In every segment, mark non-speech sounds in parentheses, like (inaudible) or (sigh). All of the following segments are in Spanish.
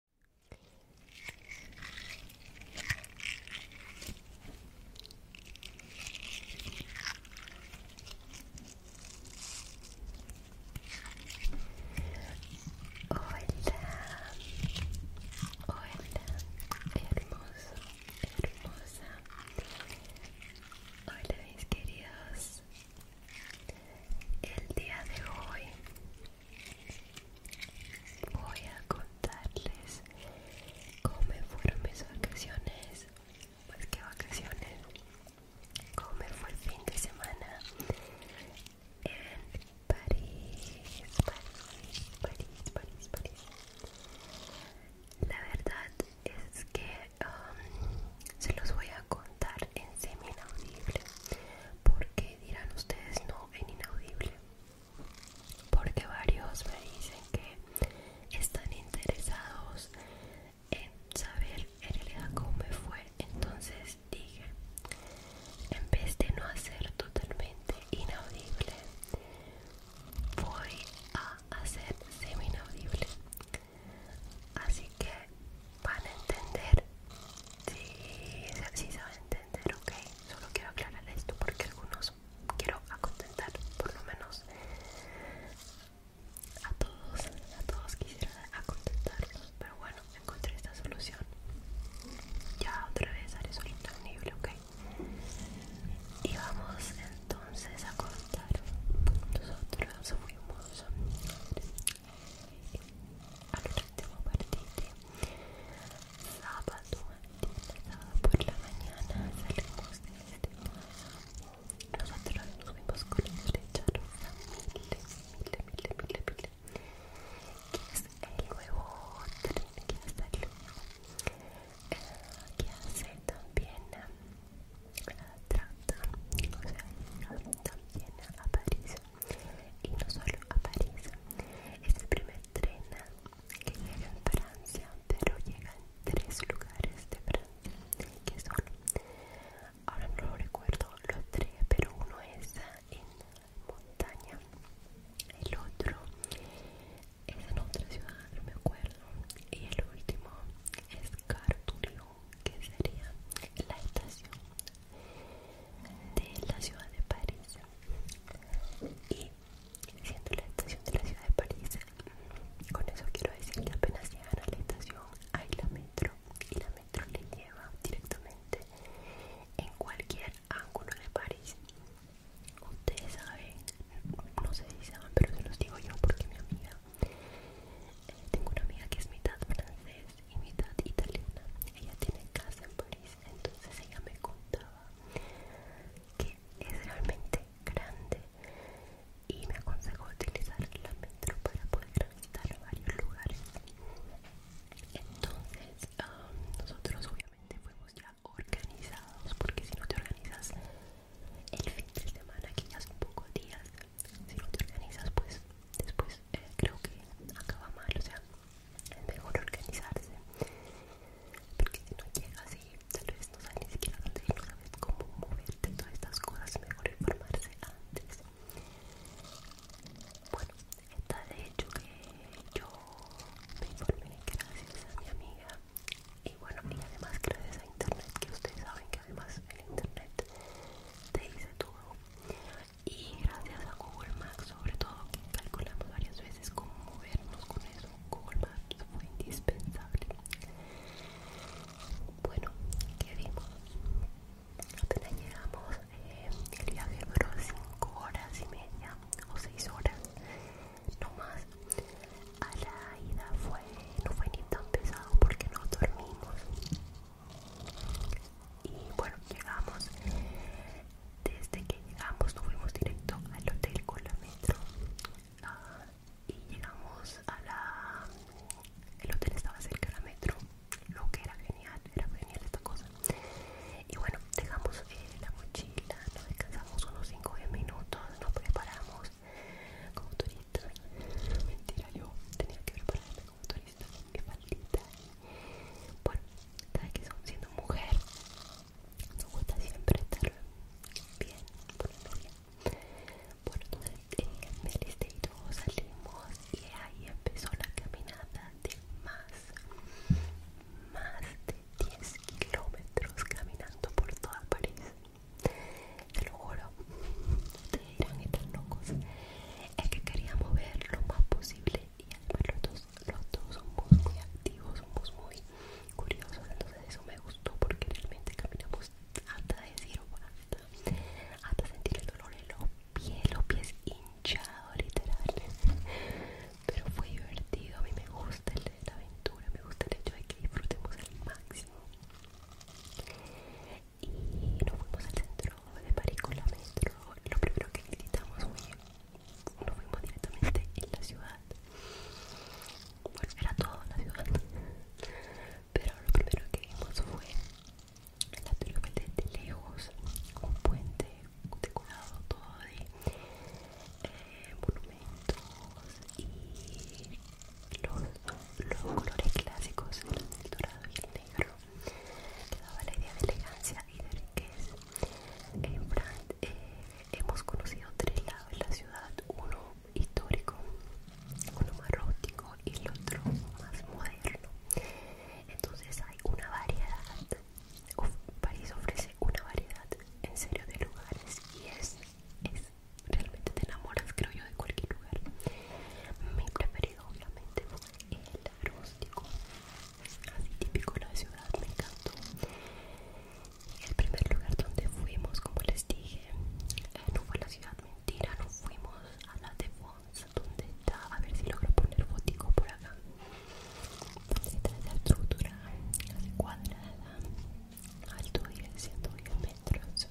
hermoso, hermosa. Hola mis queridos. El día de hoy voy a contarles cómo fueron mis vacaciones pues qué vacaciones cómo fue el fin de semana en París París París París la verdad es que um, se los voy a contar en semi libre porque dirán ustedes no en inaudible porque varios me dicen que están interesados en saber en realidad cómo me fue entonces dije en vez de no hacer totalmente inaudible voy a hacer semi inaudible así que van a entender si sí, sí se va a entender ok solo quiero aclarar esto porque algunos quiero acontentar por lo menos a todos a todos quisiera acontentarlos pero bueno encontré esta solución ya otra vez haré solito el nivel ok y vamos entonces a contar nosotros muy fuimos al último sábado, por la mañana salimos de este Nosotros nos con el miles, miles, es el nuevo tren? el eh, que hace también el ah, trata, y no solo a París, es el primer tren que llega en Francia, pero llega tres lugares de Francia, que son, ahora no recuerdo los tres, pero uno es en montaña, el otro es en otra ciudad, no me acuerdo, y el último es Carturion, que sería la estación de la ciudad de París y siendo la estación de la ciudad de París con eso quiero decir que apenas llegan a la estación hay la metro y la metro le lleva directamente en cualquier ángulo de París ustedes saben no sé si saben pero se los digo yo porque mi amiga eh, tengo una amiga que es mitad francesa y italiana. Ella tiene casa en París, entonces ella me contaba que es realmente grande y me aconsejó utilizar la metro para poder visitar varios lugares. Entonces, nosotros obviamente fuimos ya organizados, porque si no te organizas el fin de semana, que ya son pocos días, si no te organizas, pues después creo que acaba mal, o sea, es mejor organizarse porque si no llega así tal vez no sabes ni siquiera dónde ir, no sabes cómo moverte, todas estas cosas, mejor informarse antes. Bueno, está de hecho que yo me informé gracias a mi amiga y bueno, y además gracias a internet, que ustedes saben que además el internet te dice todo y gracias a Google Maps sobre todo que calculamos varias veces cómo movernos con eso Google Maps fue indispensable bueno ¿qué vimos? apenas llegamos eh, el viaje duró 5 horas y media o 6 horas no más a la ida fue no fue ni tan pesado porque no dormimos y bueno llegamos desde que llegamos fuimos directo al hotel con la metro ah, y llegamos a la el hotel estaba cerca de la metro lo que era genial era genial esta cosa y bueno dejamos eh, la mochila nos descansamos unos 5 o 10 minutos nos preparamos como turistas mentira yo tenía que prepararme como turista, maldita. Bueno, sabes que son siendo mujer, nos gusta siempre estar bien, la bien. Bueno, en el me y luego salimos y ahí empezó la caminata de más, más de 10 kilómetros caminando por toda París. Te lo juro, ustedes dirán están locos es que quería mover lo más posible y además los dos, los dos somos muy activos, somos muy curiosos, entonces eso me gustó porque realmente caminamos hasta decir hasta, hasta sentir el dolor en los pies, los pies hinchados literal, pero fue divertido, a mí me gusta el, de la aventura, me gusta el hecho de que disfrutemos al máximo y nos fuimos al centro de París con la metro. Lo primero que visitamos fue, nos fuimos directamente en la ciudad. Bueno, era todo la ciudad, pero lo primero que vimos fue la triunfal de lejos, un puente decorado todo de eh, monumentos y los, los colores clásicos, el dorado y el negro que daba la idea de elegancia y de riqueza. En Francia eh, hemos conocido tres lados de la ciudad, uno histórico, uno más rústico y el otro más moderno. Entonces hay una variedad, París ofrece una variedad en serio de lugares y es, es realmente te enamoras creo yo de cualquier lugar. Mi preferido obviamente fue el rústico, así típico la ciudad, me encantó. El primer lugar donde fuimos, como les dije, eh, no fue la ciudad mentira, no fuimos a la de donde está, a ver si logro poner fotico por acá, donde está la estructura de cuadrada, alto de 110 metros,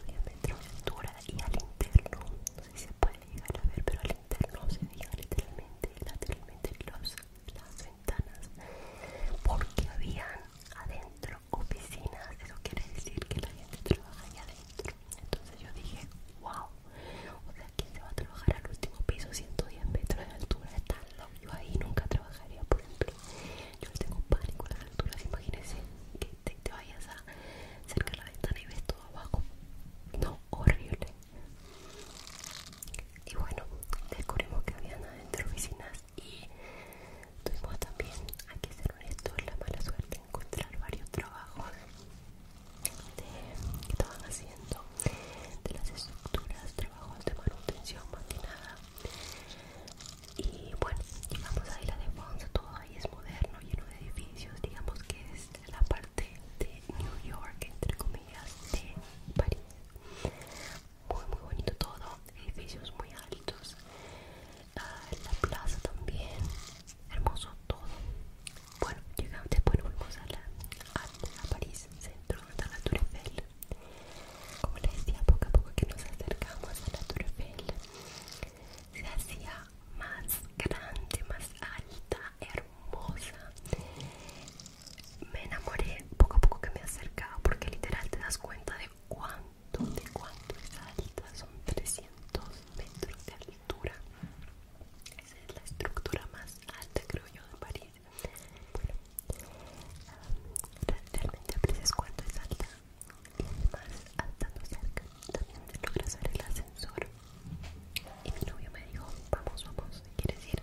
110 metros de altura y al interno sé si se puede llegar a ver pero al interno se digan literalmente lateralmente los, las ventanas porque habían adentro oficinas eso quiere decir que la gente trabaja ahí adentro entonces yo dije wow o sea quién se va a trabajar al último piso 110 metros de altura está loco yo ahí nunca trabajaría por ejemplo yo tengo pánico a las alturas imagínense que te vayas a cerca de la ventana y ves todo abajo. No, horrible. Y bueno, descubrimos que había habían adentro oficinas y tuvimos también, hay que ser honestos, la mala suerte de encontrar varios trabajos que estaban haciendo de las estructuras, trabajos de manutención más que nada. Y bueno, llegamos a la de Ponce, todo y es moderno, lleno de edificios, digamos que es la parte de New York, entre comillas, de París. Muy, muy bonito todo, edificios muy altos, ah, la plaza también, hermoso todo. Bueno, llegamos, después a, a, París, centro de la Tour Eiffel. Como les decía, poco a poco que nos acercamos a la Tour Eiffel, se hacía más grande, más alta, hermosa. Me enamoré poco a poco que me acercaba porque literal te das cuenta de cuánto, de cuánto es alta. Son 300 metros de altura. Esa es la estructura más alta, creo yo, de París. realmente aprecias cuánto es alta y más cerca también logras ver el ascensor y mi novio me dijo vamos vamos quieres ir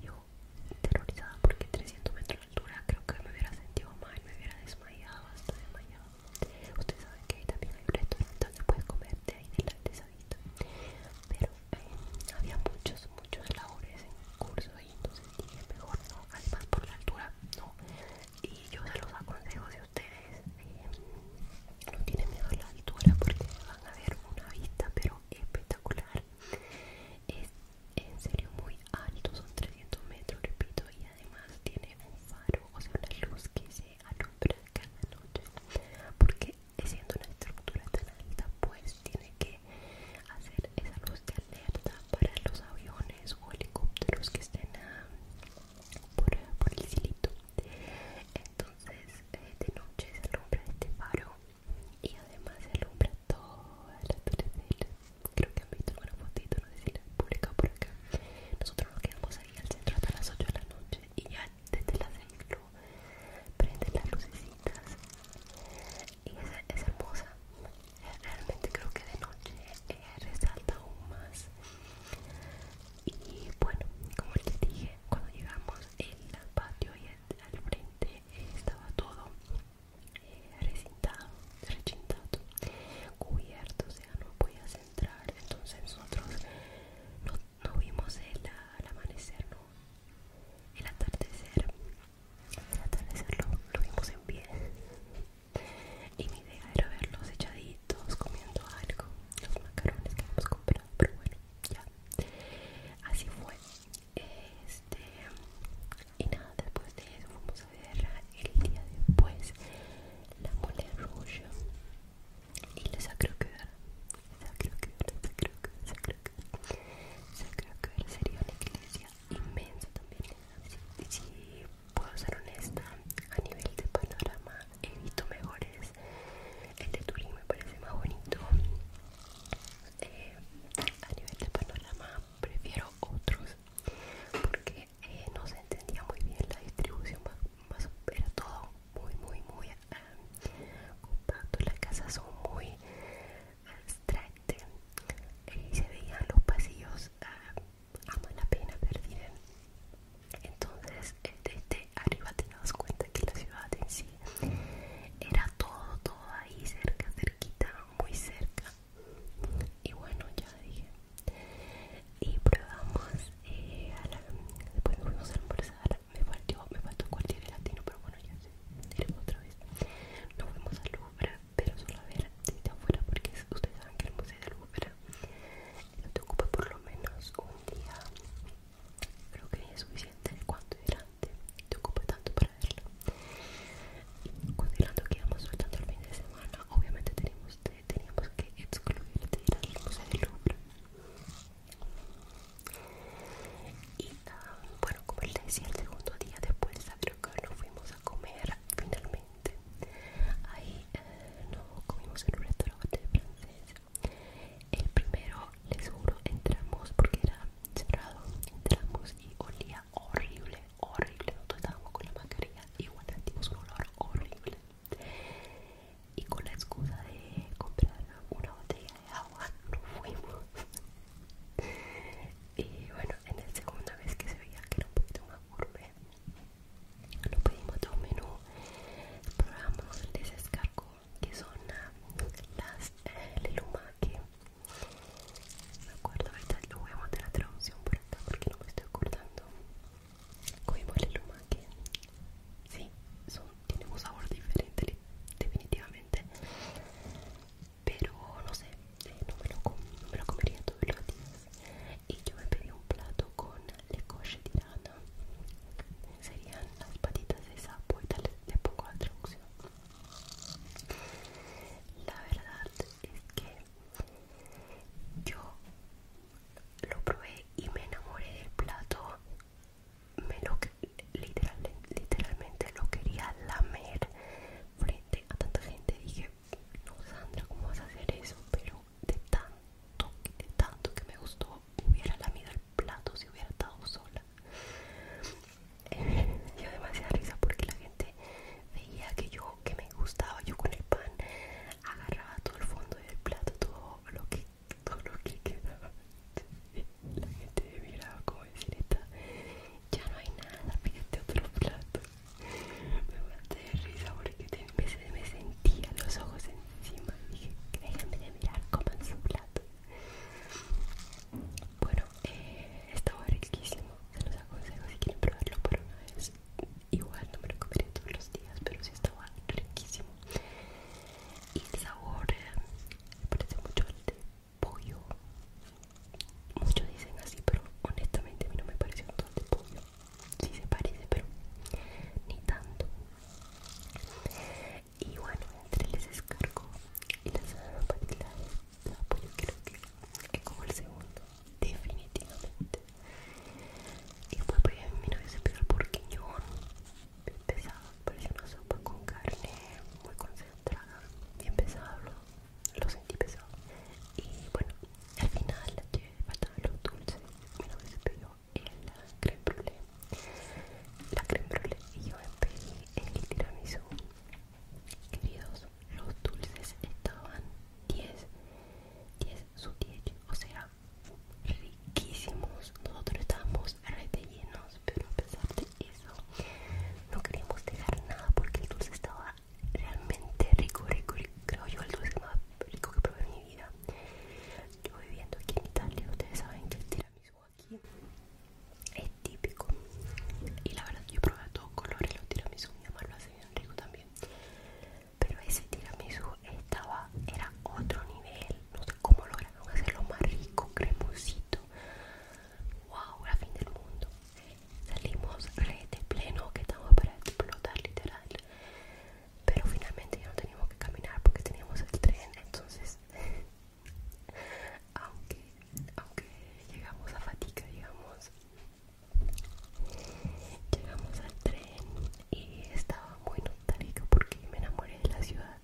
y yo terrorizada porque 300 metros de altura creo que me hubiera sentido mal me hubiera desmayado hasta desmayado ustedes saben que ahí también hay un restaurante donde puedes comerte ahí delante sabito pero eh, había muchos muchos labores en curso y entonces dije mejor no además por la altura no y yo se los aconsejo si ustedes eh, no tienen miedo a la altura porque van a ver una vista pero espectacular es en serio muy alto son 300 metros repito y además tiene un faro o sea una luz que se alumbra cada noche porque siendo una estructura tan alta pues tiene que hacer esa luz de alerta para los aviones o helicópteros que estén a por, el silito entonces eh, de noche se alumbra este faro y además se alumbra toda la del... creo que han visto una fotito no sé si público por acá nosotros nos quedamos ahí al centro hasta las 8 de la noche y ya desde las 6 prenden las lucecitas y es hermosa realmente creo que de noche eh, resalta aún más y bueno como les dije cuando llegamos el patio y al frente eh, estaba todo eh, recintado, recintado cubierto o sea no a entrar entonces nosotros no, vimos el, amanecer no el atardecer el atardecer lo vimos en pie y mi idea era verlos echaditos comiendo algo, los macarrones que hemos comprado, pero bueno, ya. Así fue. Este, y nada, después de eso fuimos a ver el día después la mole roja y la sacro la era, sacro que la sacro que sería una iglesia inmensa también. así, ¿eh? puedo ser honesta, a nivel de panorama he visto mejores. El de Turín me parece más bonito. Eh, a nivel de panorama prefiero otros porque eh, no se entendía muy bien la distribución, era todo muy, muy, muy eh, compacto. Las casas son muy abstractas y se veían los pasillos a ah, mala pena perdida. Entonces, desde arriba te das cuenta que la ciudad en sí era todo, todo ahí cerca, cerquita, muy cerca. Y bueno, ya dije. Y probamos, eh, después nos fuimos a almorzar. Me partió me faltó cualquier latino, pero bueno, ya sé, otra vez. Nos fuimos a Louvre, pero solo a ver si te afuera porque ustedes saben que el museo del Louvre no te ocupa por lo menos un día creo que es suficiente cuanto delante te ocupa tanto para verlo y considerando que íbamos soltando el fin de semana obviamente teníamos, que excluirte de ir al museo del Louvre y ah, bueno como les decía el segundo día después creo que nos fuimos a comer finalmente ahí eh, nos comimos en un restaurante francés el primero les juro entramos porque era cerrado entramos y olía horrible horrible nosotros estábamos con la mascarilla igual sentimos un olor horrible y con la excusa de comprar una botella de agua (laughs) nos fuimos y bueno en la segunda vez que se veía que era un poquito más gourmet no pedimos de un menú probamos el desescargo que son ah, las eh, lelumaque me acuerdo ahorita lo voy a mandar la traducción por acá porque no me estoy acordando comimos lelumaque sí son, tienen un sabor diferente definitivamente pero no sé no me lo, comería todos los días y yo me pedí un plato con le coche tirana serían las patitas de sapo y tal de poco la traducción la verdad es que yo lo probé y me enamoré del plato me lo literalmente lo quería lamer frente a tanta gente dije no Sandra, ¿cómo vas a hacer eso? Pero de tanto, de tanto que me gustó, hubiera lamido el plato si hubiera estado sola. yo (laughs) demasiada risa porque la gente veía que yo, que me gustaba, yo con el pan agarraba todo el fondo del plato, todo lo que, todo lo que quedaba. La gente miraba como decir, ya no hay nada, pídete otro plato. Me maté de risa porque me, me sentía los ojos encima dije, déjame de mirar coman su plato. Bueno, eh, estaba riquísimo, se los aconsejo si quieren probarlo por una vez. Igual no me lo comeré todos los días, pero sí estaba riquísimo. Y el sabor eh, me parece mucho al de pollo, Muchos dicen así, pero honestamente a mí no me parece un de pollo. si se parece, pero ni tanto. Y bueno, entre les descargo y las patillas de pollo creo que como el segundo, definitivamente. Y después pues, a mi novio se pidió el yo bien pesado, parecía una sopa con carne muy concentrada, bien pesado lo sentí pesado y bueno al final de faltaban los dulces que se pidió el creme brulee la creme brulee y yo me pedí el tiramisú queridos los dulces estaban 10 10 su 10 o sea riquísimos nosotros estábamos rete llenos pero a pesar de eso no queríamos dejar nada porque el dulce estaba realmente rico, rico, creo yo el dulce más rico que probé en mi vida yo viviendo aquí en Italia ustedes saben que el tiramisú aquí es típico y la verdad yo probé todos colores los tiramisú mi mamá lo rico también pero ese tiramisú estaba era otro nivel no sé cómo lograron hacerlo más rico cremosito wow la fin del mundo salimos re este de pleno que estamos para explotar literal pero finalmente ya no teníamos que caminar porque teníamos el tren entonces (laughs) aunque aunque llegamos a fatiga digamos llegamos al tren y estaba muy nostálgico porque me enamoré de la ciudad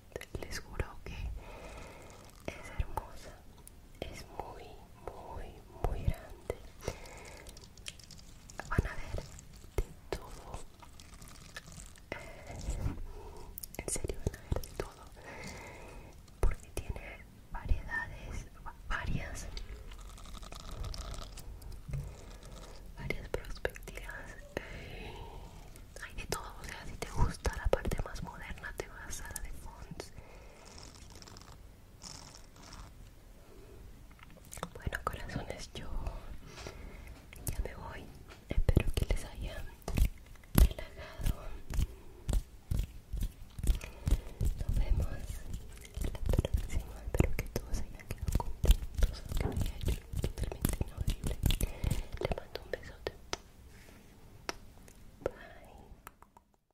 les juro que es hermosa es muy, muy, muy grande. Van a ver de todo. en serio, van a ver de todo. Porque tiene variedades, varias, varias perspectivas. hay de todo, o sea, si te gusta la parte más moderna, te vas a la de Fons. Bueno corazones, yo ya me voy. Espero que les haya relajado. Nos vemos la próxima. Espero que todos hayan quedado contentos, totalmente inaudible. Les mando un besote. Bye.